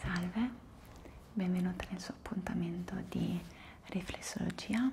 Salve, benvenuta nel suo appuntamento di riflessologia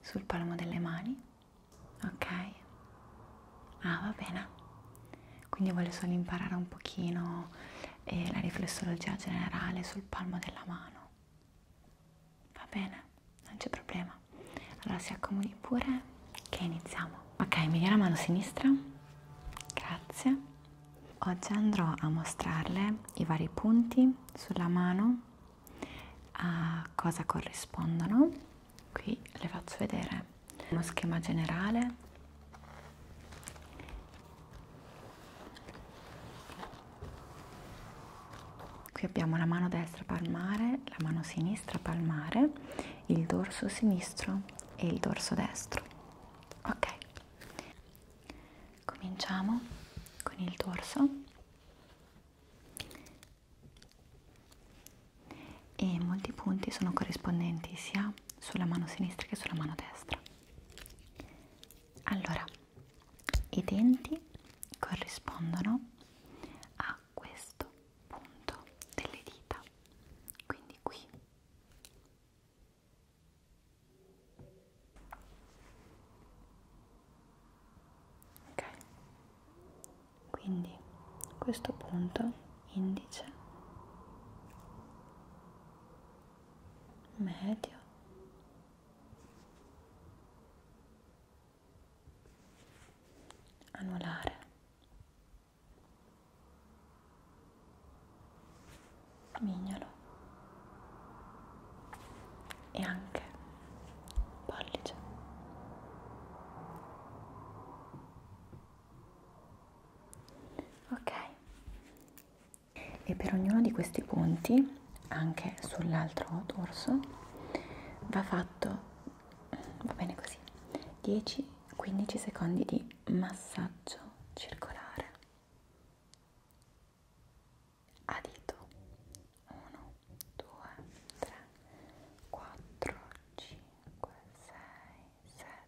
sul palmo delle mani, ok? Ah, va bene. Quindi voglio solo imparare un pochino e la riflessologia generale sul palmo della mano. Va bene, non c'è problema. Allora si accomodi pure che iniziamo. Ok, mi dia la mano sinistra. Grazie. Oggi andrò a mostrarle i vari punti sulla mano, a cosa corrispondono. Qui le faccio vedere uno schema generale qui abbiamo la mano destra palmare la mano sinistra palmare il dorso sinistro e il dorso destro ok cominciamo con il dorso e molti punti sono corrispondenti sia sulla mano sinistra che sulla mano destra allora i denti corrispondono a questo punto delle dita quindi qui ok quindi questo punto indice medio anulare mignolo e anche pollice ok e per ognuno di questi punti anche sull'altro dorso va fatto va bene così 10-15 secondi di massaggio circolare a dito 1 2 3 4 5 6 7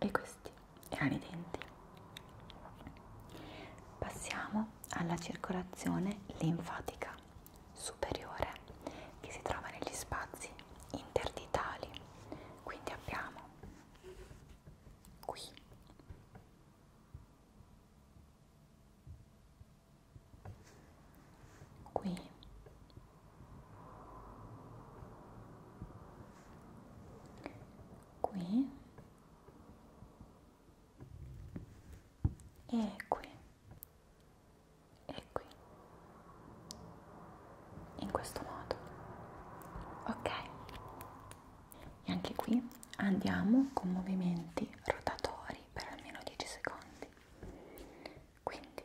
e questi erano i denti passiamo alla circolazione linfatica superiore che si trova negli spazi interditali quindi abbiamo qui qui qui e qui e qui in questo modo ok e anche qui andiamo con movimenti rotatori per almeno 10 secondi quindi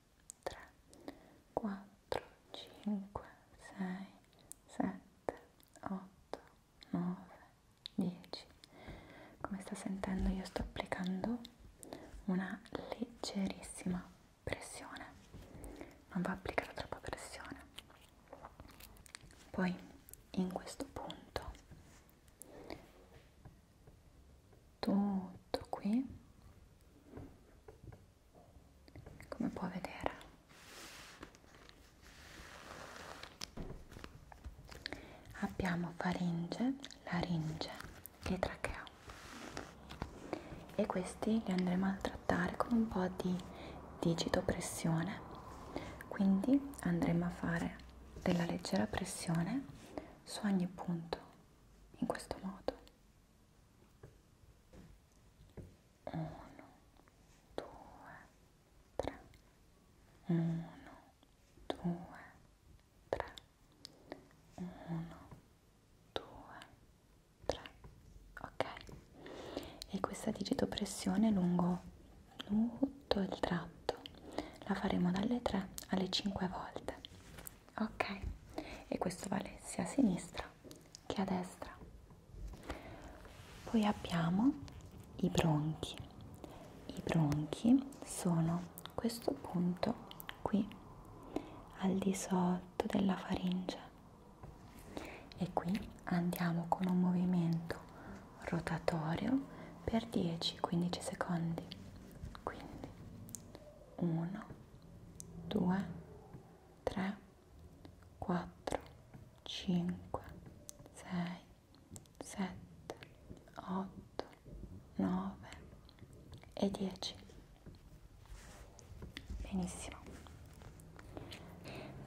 3, 4, 5, 6, 7, 8, 9, 10. Come sta sentendo io sto applicando una leggerissima pressione, non va applicata troppa pressione. Poi in questo punto tutto qui come può vedere abbiamo faringe laringe e trachea e questi li andremo a trattare con un po di digito pressione quindi andremo a fare della leggera pressione su ogni punto in questo modo 1 2 3 1 2 3 1 2 3 ok e questa digitopressione lungo tutto il tratto la faremo dalle 3 alle 5 volte ok e questo vale sia a sinistra che a destra poi abbiamo i bronchi i bronchi sono questo punto qui al di sotto della faringe e qui andiamo con un movimento rotatorio per 10-15 secondi quindi 1, 2, 3, 4, 5, 6, 7, 8, 9 e 10. Benissimo.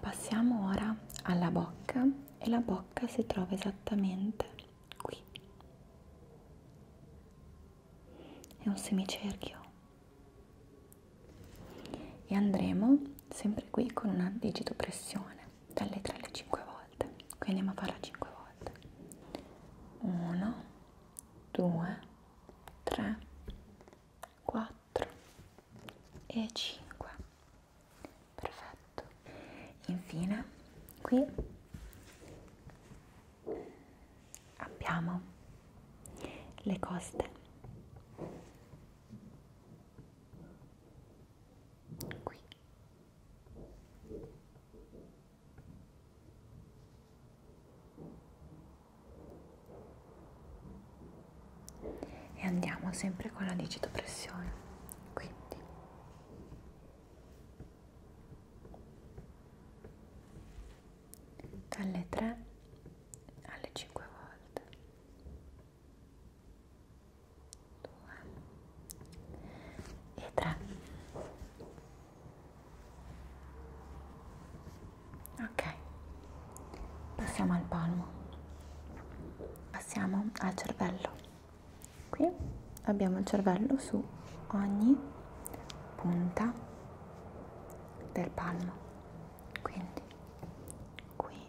Passiamo ora alla bocca e la bocca si trova esattamente qui è un semicerchio e andremo sempre qui con una digitopressione dalle 3 alle 5 volte quindi andiamo a farla 5 volte 1 2 3 4 e 5 perfetto infine qui abbiamo le coste qui e andiamo sempre con la digitopressione quindi dalle 3 alle 5 volte 2 e 3 ok passiamo al palmo passiamo al cervello qui abbiamo il cervello su ogni punta del palmo quindi qui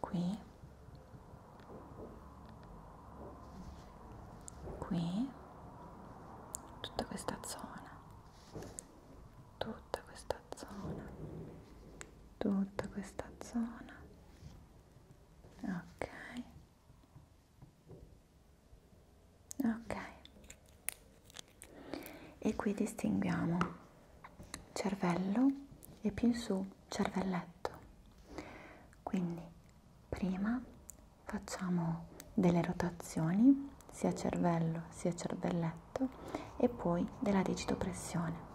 qui qui tutta questa zona tutta questa zona tutta questa zona ok ok e qui distinguiamo cervello e più in su cervelletto quindi prima facciamo delle rotazioni sia cervello sia cervelletto e poi della digitopressione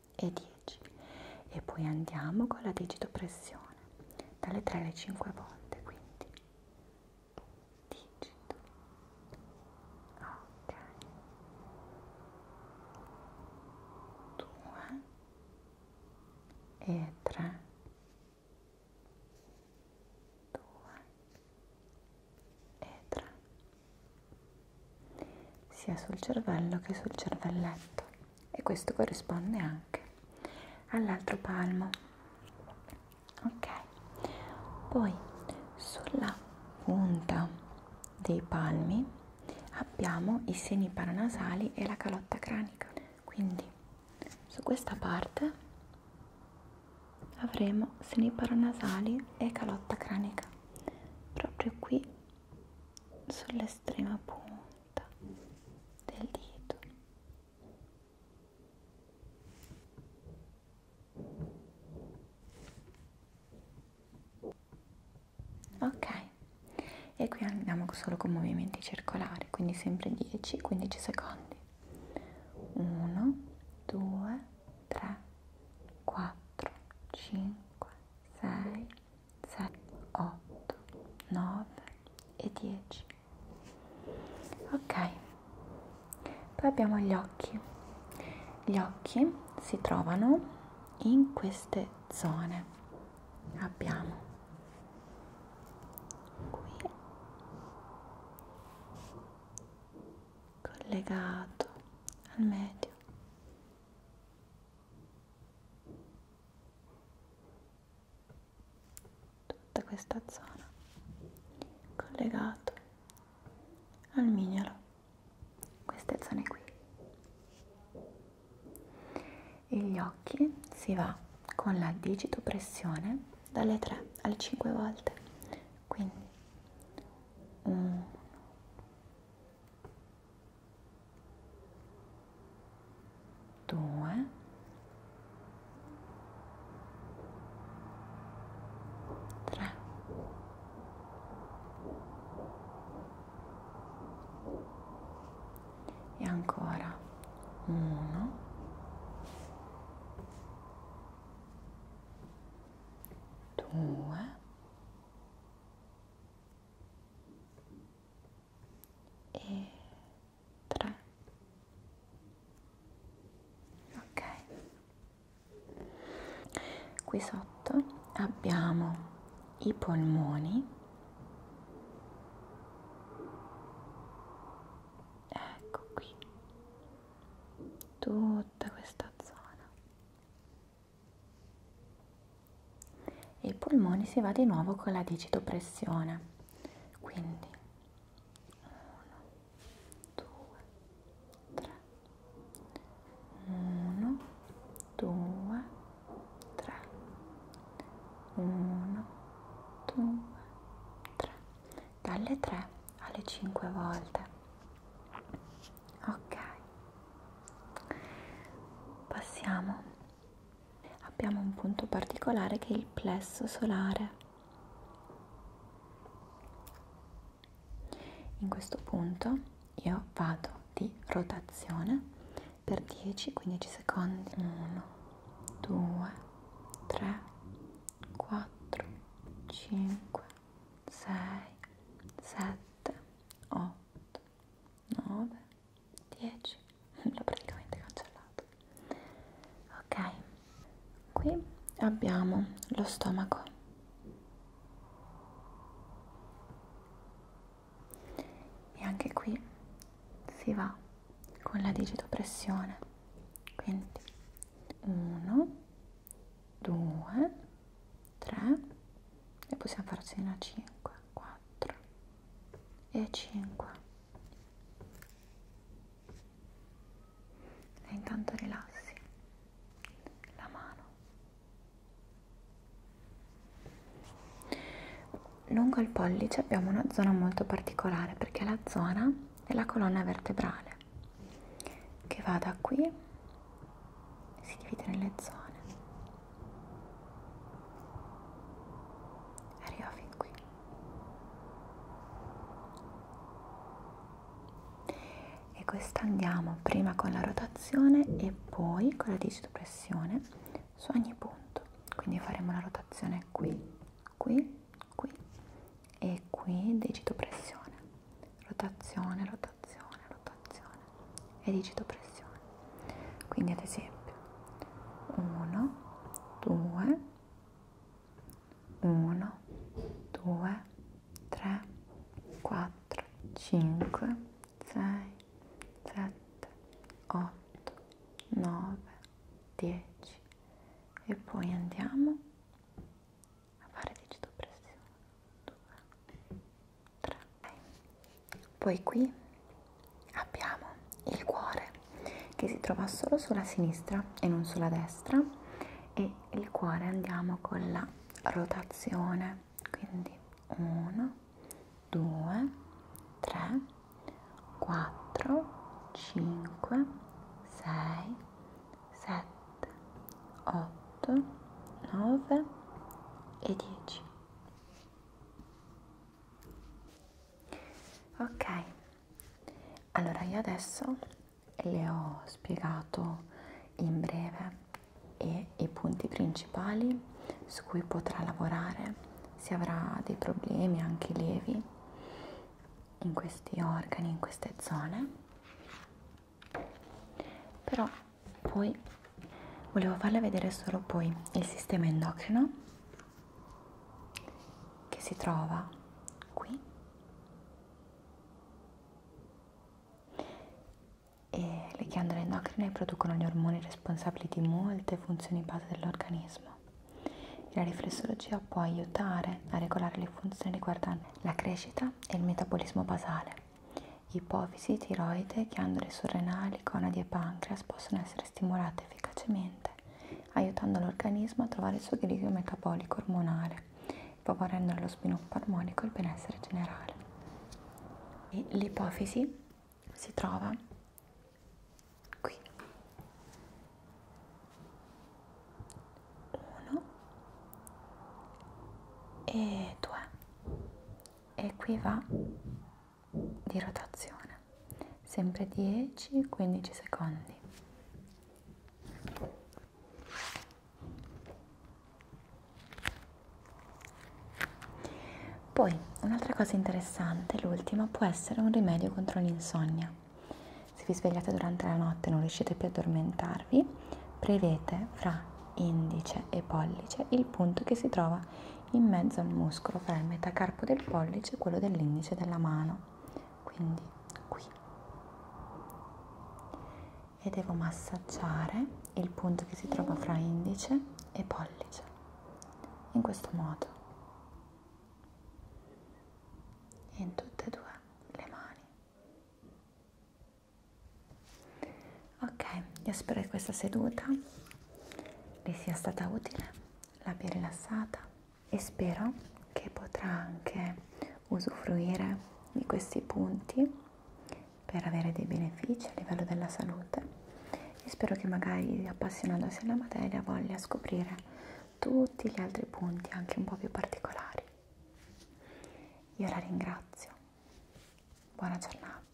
e 10 e poi andiamo con la digito pressione dalle 3 alle 5 volte quindi digito ok 2 e 3 2 e 3 sia sul cervello che sul cervelletto e questo corrisponde anche all'altro palmo ok poi sulla punta dei palmi abbiamo i seni paranasali e la calotta cranica quindi su questa parte avremo seni paranasali e calotta cranica proprio qui sull'estrema punta del dito ok e qui andiamo solo con movimenti circolari quindi sempre 10 15 secondi 1 2 3 4 5 6 7, 8, 9 e 10. Ok, poi abbiamo gli occhi. Gli occhi si trovano in queste zone. Abbiamo qui collegato al medio tutta questa zona collegato al mignolo queste zone qui e gli occhi si va con la digitopressione dalle 3 alle 5 volte quindi 1 due, tre, e ancora uno, due, e tre ok qui sotto abbiamo i polmoni ecco qui tutta questa zona e i polmoni si va di nuovo con la digitopressione quindi 1 2 3 1 2 3 1 2 3 dalle 3 alle 5 volte ok passiamo abbiamo un punto particolare che è il plesso solare in questo punto io vado di rotazione per 10-15 secondi 1 2 3 4 5 6 7 8, 9, 10, l'ho praticamente cancellato. Ok, qui abbiamo lo stomaco e anche qui si va con la digitopressione, quindi 1, 2, 3 e possiamo farci una 5, 4 e 5. E intanto rilassi la mano. Lungo il pollice abbiamo una zona molto particolare perché è la zona della colonna vertebrale che va da qui si divide nelle zone arriva fin qui e questa andiamo prima con la rotazione e poi con la digitopressione su ogni punto quindi faremo la rotazione qui qui qui e qui digitopressione rotazione rotazione rotazione, rotazione e digito pressione. Quindi ad esempio 1, 2, 1, 2, 3, 4, 5, 6, 7, 8, 9, 10 e poi andiamo a fare digitopressione 2 3 poi qui abbiamo il cuore che si trova solo sulla sinistra e non sulla destra e il cuore andiamo con la rotazione quindi 1 2 3 4 5 6 7 8, 9 e 10. Ok, allora io adesso le ho spiegato in breve e i punti principali su cui potrà lavorare se avrà dei problemi anche lievi in questi organi, in queste zone però poi volevo farle vedere solo poi il sistema endocrino che si trova qui e le ghiandole endocrine producono gli ormoni responsabili di molte funzioni base dell'organismo la riflessologia può aiutare a regolare le funzioni riguardanti la crescita e il metabolismo basale ipofisi, tiroide, ghiandole surrenali, conadi e pancreas possono essere stimolate efficacemente aiutando l'organismo a trovare il suo equilibrio metabolico ormonale, favorendo lo sviluppo armonico e il benessere generale. E l'ipofisi si trova qui. 1 e 2 e qui va di rotazione sempre 10-15 secondi poi un'altra cosa interessante l'ultima può essere un rimedio contro l'insonnia se vi svegliate durante la notte e non riuscite più a addormentarvi prevete fra indice e pollice il punto che si trova in mezzo al muscolo fra il metacarpo del pollice e quello dell'indice della mano quindi qui e devo massaggiare il punto che si trova fra indice e pollice in questo modo in tutte e due le mani ok io spero che questa seduta vi sia stata utile l'abbia rilassata e spero che potrà anche usufruire di questi punti per avere dei benefici a livello della salute e spero che magari appassionandosi alla materia voglia scoprire tutti gli altri punti anche un po' più particolari. Io la ringrazio Buona giornata.